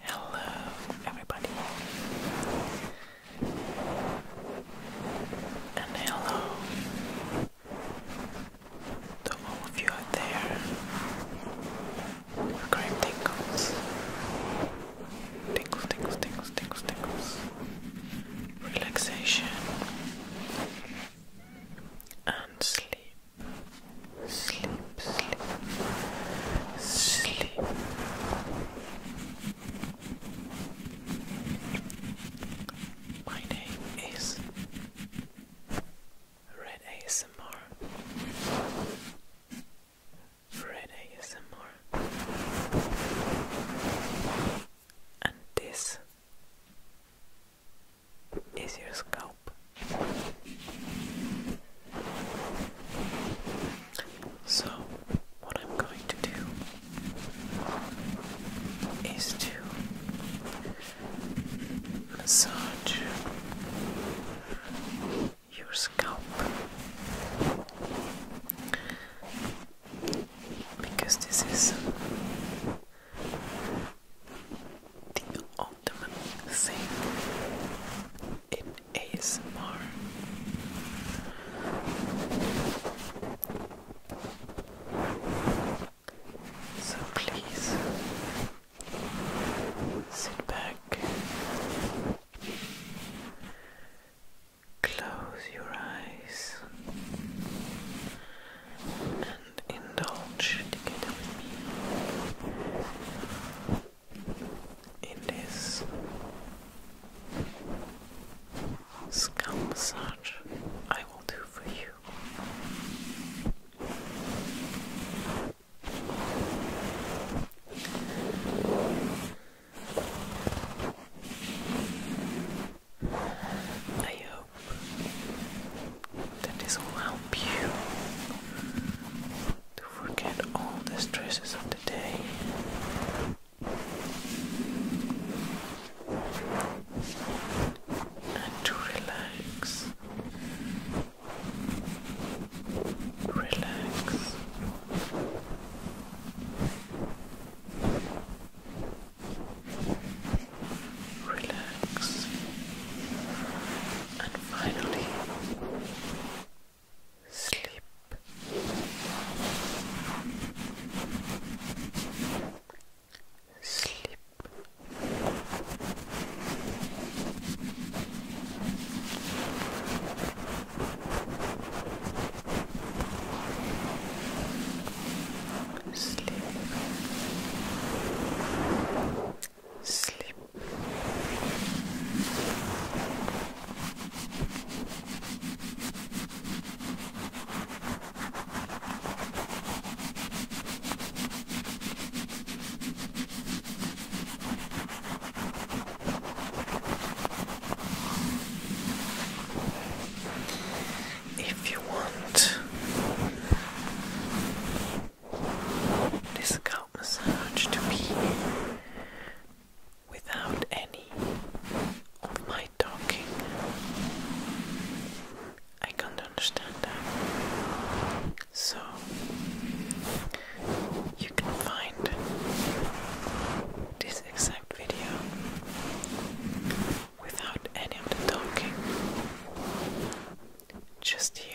Hello, everybody, and hello to all of you out there with green tingles. Tingles, tingles, tingles, tingles, tingles. Relaxation and sleep sleep, sleep, sleep. My name is Red ASMR. Red ASMR. And this is your scalp. So, what I'm going to do is to massage your scalp because this is the ultimate thing It is more. So please sit back, close your eyes, indulge together with me in this scalp massage I will do for you. I hope that this will help you to forget all the stresses of the day. And to relax, relax relax, and finally sleep. Sleep. Sleep sleep. If you want, this scalp massage to be without any of my talking. I can't understand that. So, you can find this exact video without any of the talking just here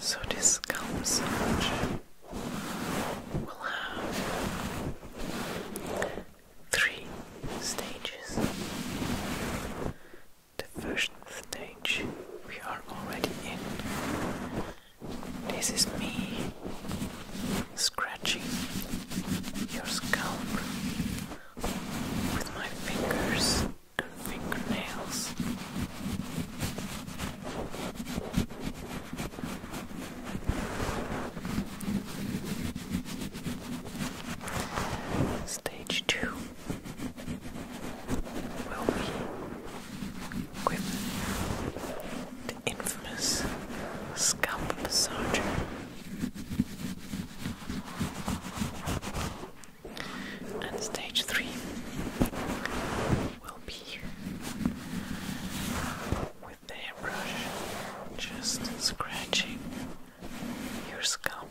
So this scalp massage will have three stages the first stage we are already in. This is me scratching your scalp with my fingers and fingernails. Stage two will be with the infamous scalp massager. And stage three will be with the hairbrush just scratching your scalp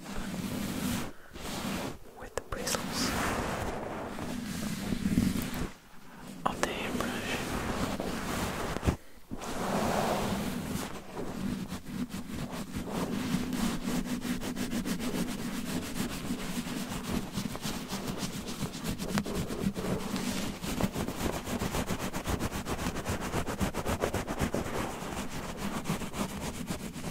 with the bristles of the hairbrush.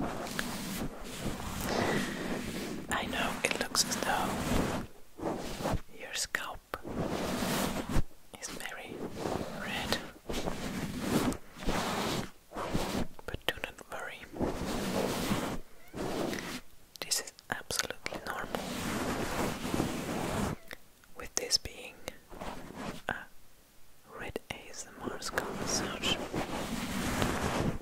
I know it looks as though your scalp is very red, but do not worry. This is absolutely normal. With this being a red ASMR scalp search.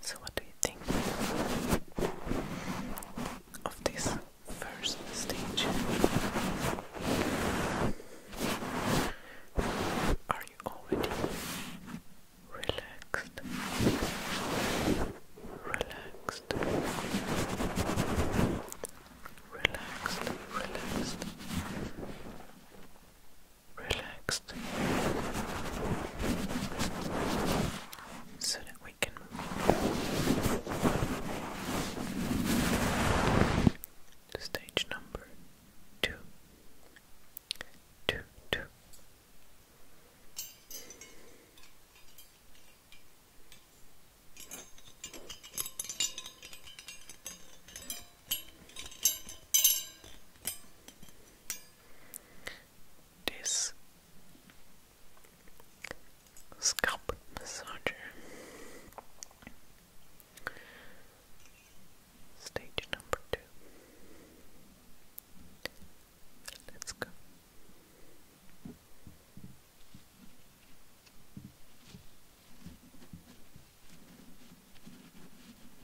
So, what do you think of this first stage? Are you already relaxed? Relaxed, relaxed, relaxed relaxed so that we can stage number two this scalp massager. Stage number two. Let's go.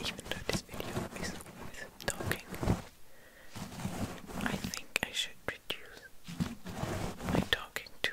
Even though I think I should reduce my talking to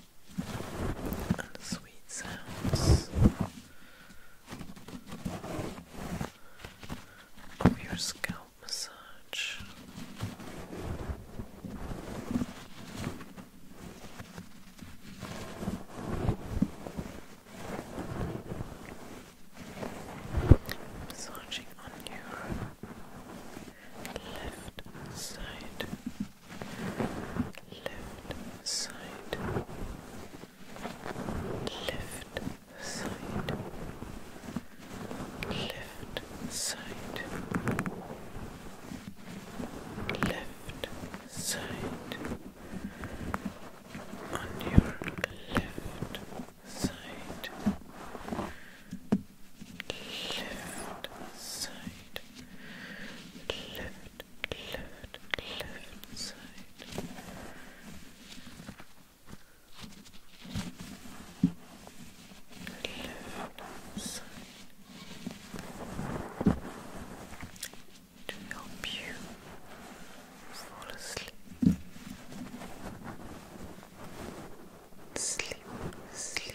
and sweet sounds of your scalp massage. Massaging on your left side left side, left side, left side, left side, on your left side, left side left, left, left side. Left side. To help you fall asleep. Sleep, sleep,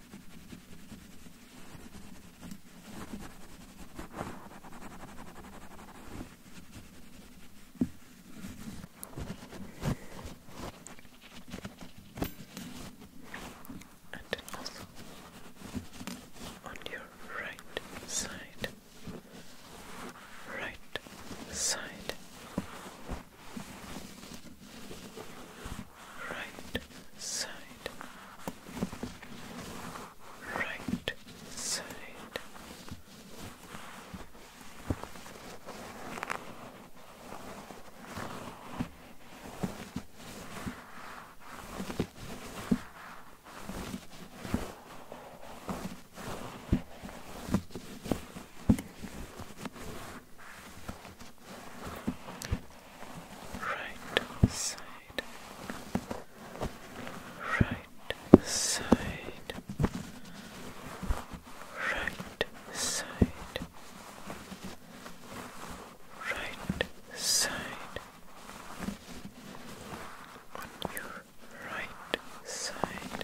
and also on your right side, right side, right side, right side. Right right side, right side, right side, right side, on your right side.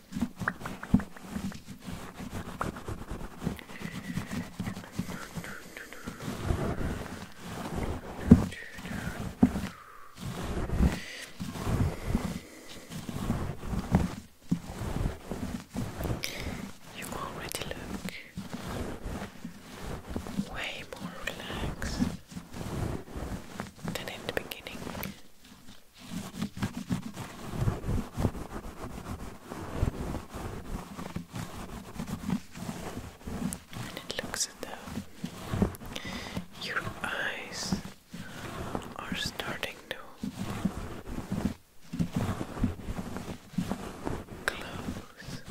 You already look way more relaxed than in the beginning. And it looks as though your eyes are starting to close.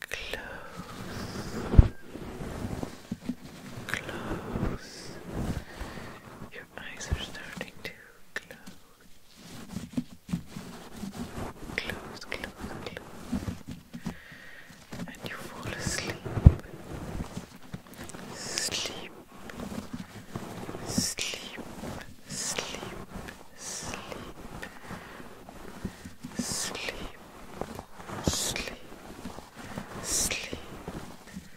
Close close. Your eyes are starting to close. Close, close, close. And you fall asleep. Sleep. Sleep. Sleep. Sleep. Sleep. Sleep. Sleep. Sleep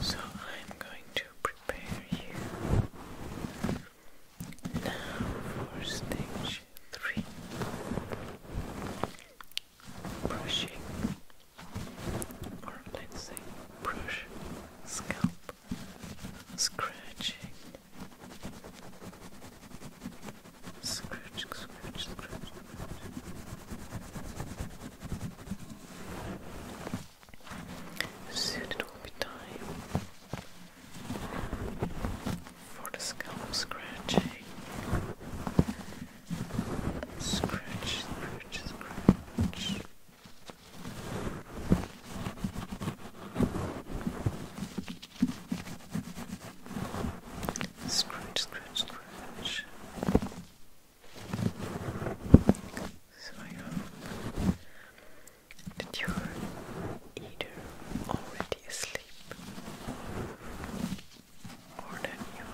So I'm going to prepare you now for stage three brushing, or let's say, brush, scalp, scratching. Scrooge, Scrooge, Scrooge. Soon it will be time for the scalp scratching. Scratch, scratch, scratch. Scratch, scratch, scratch. So I hope that you're either already asleep or that you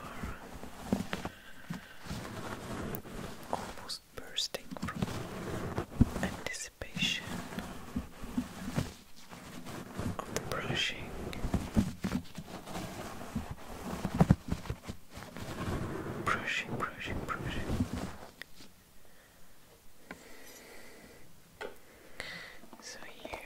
are almost bursting from anticipation anticipation of the brushing. Brushing, brushing, brushing. So here.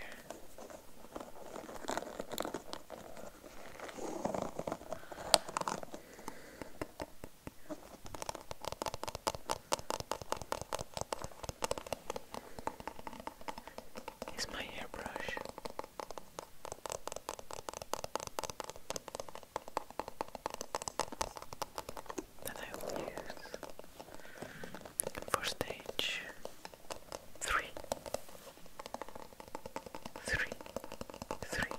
Is my hairbrush? That I will use for stage three, three, three.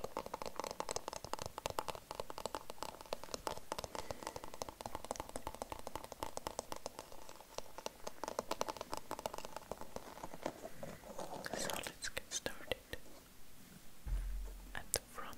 So let's get started at the front.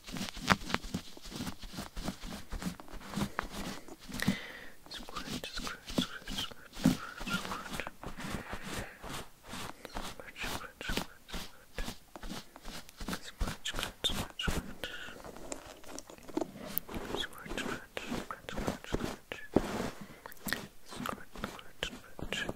Squirt, squirt, squirt, squirt, squirt, squirt. Squirt, squirt, squirt, squirt. Squirt, squirt, squirt, squirt. Squirt, squirt, squirt, squirt, squirt. Squirt, squirt, squirt.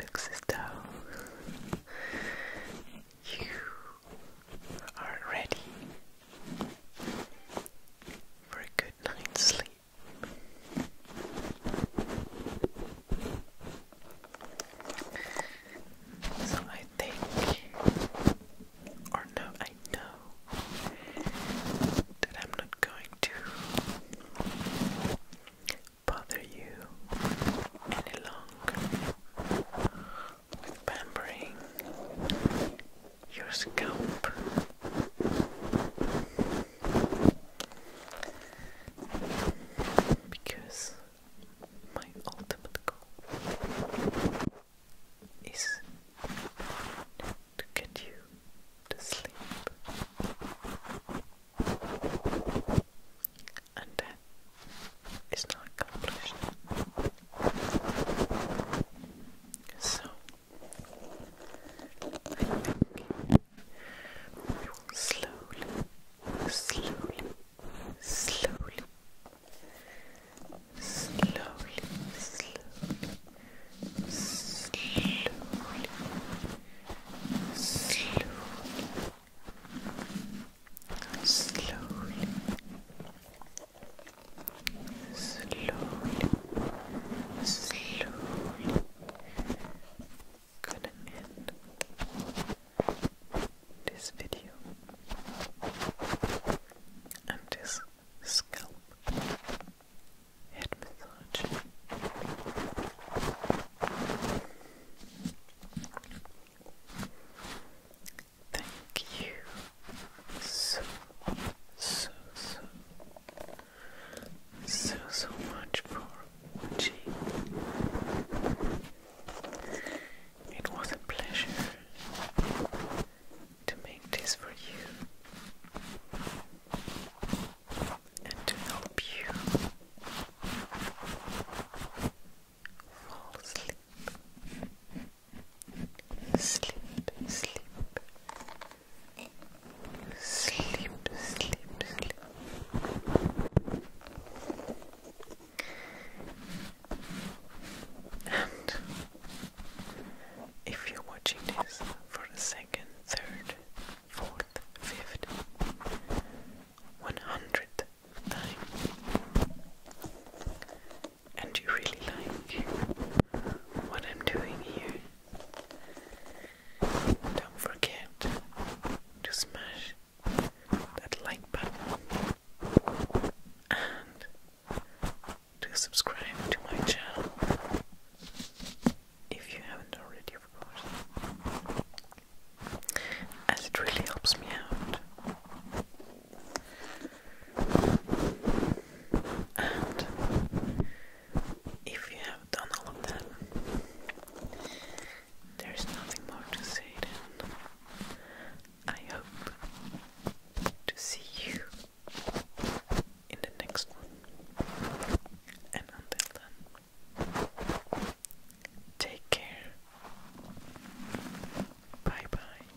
Looks as though you are ready for a good night's sleep. So I think, or no, I know that I'm not going to bother you any longer with pampering your scalp. Because my ultimate goal is to get you to sleep and that is not accomplished so I think we will slowly, slowly, slowly slowly, slowly, slowly, slowly, slowly, slowly, Gonna end this video and this scalp head massage. Thank you so, so, so, so, so much for watching. It was a pleasure to make this for you and to help you fall asleep. Sleep, sleep, sleep, sleep, sleep. And if you're watching this for the second, third, fourth, fifth, one hundredth time, and you really like what I'm doing here, don't forget to smash that like button and to subscribe to my channel if you haven't already, of course, as it really helps me out. And if you have done all of that, there's nothing more to say then. I hope to see you in the next one. And until then, take care. Bye bye.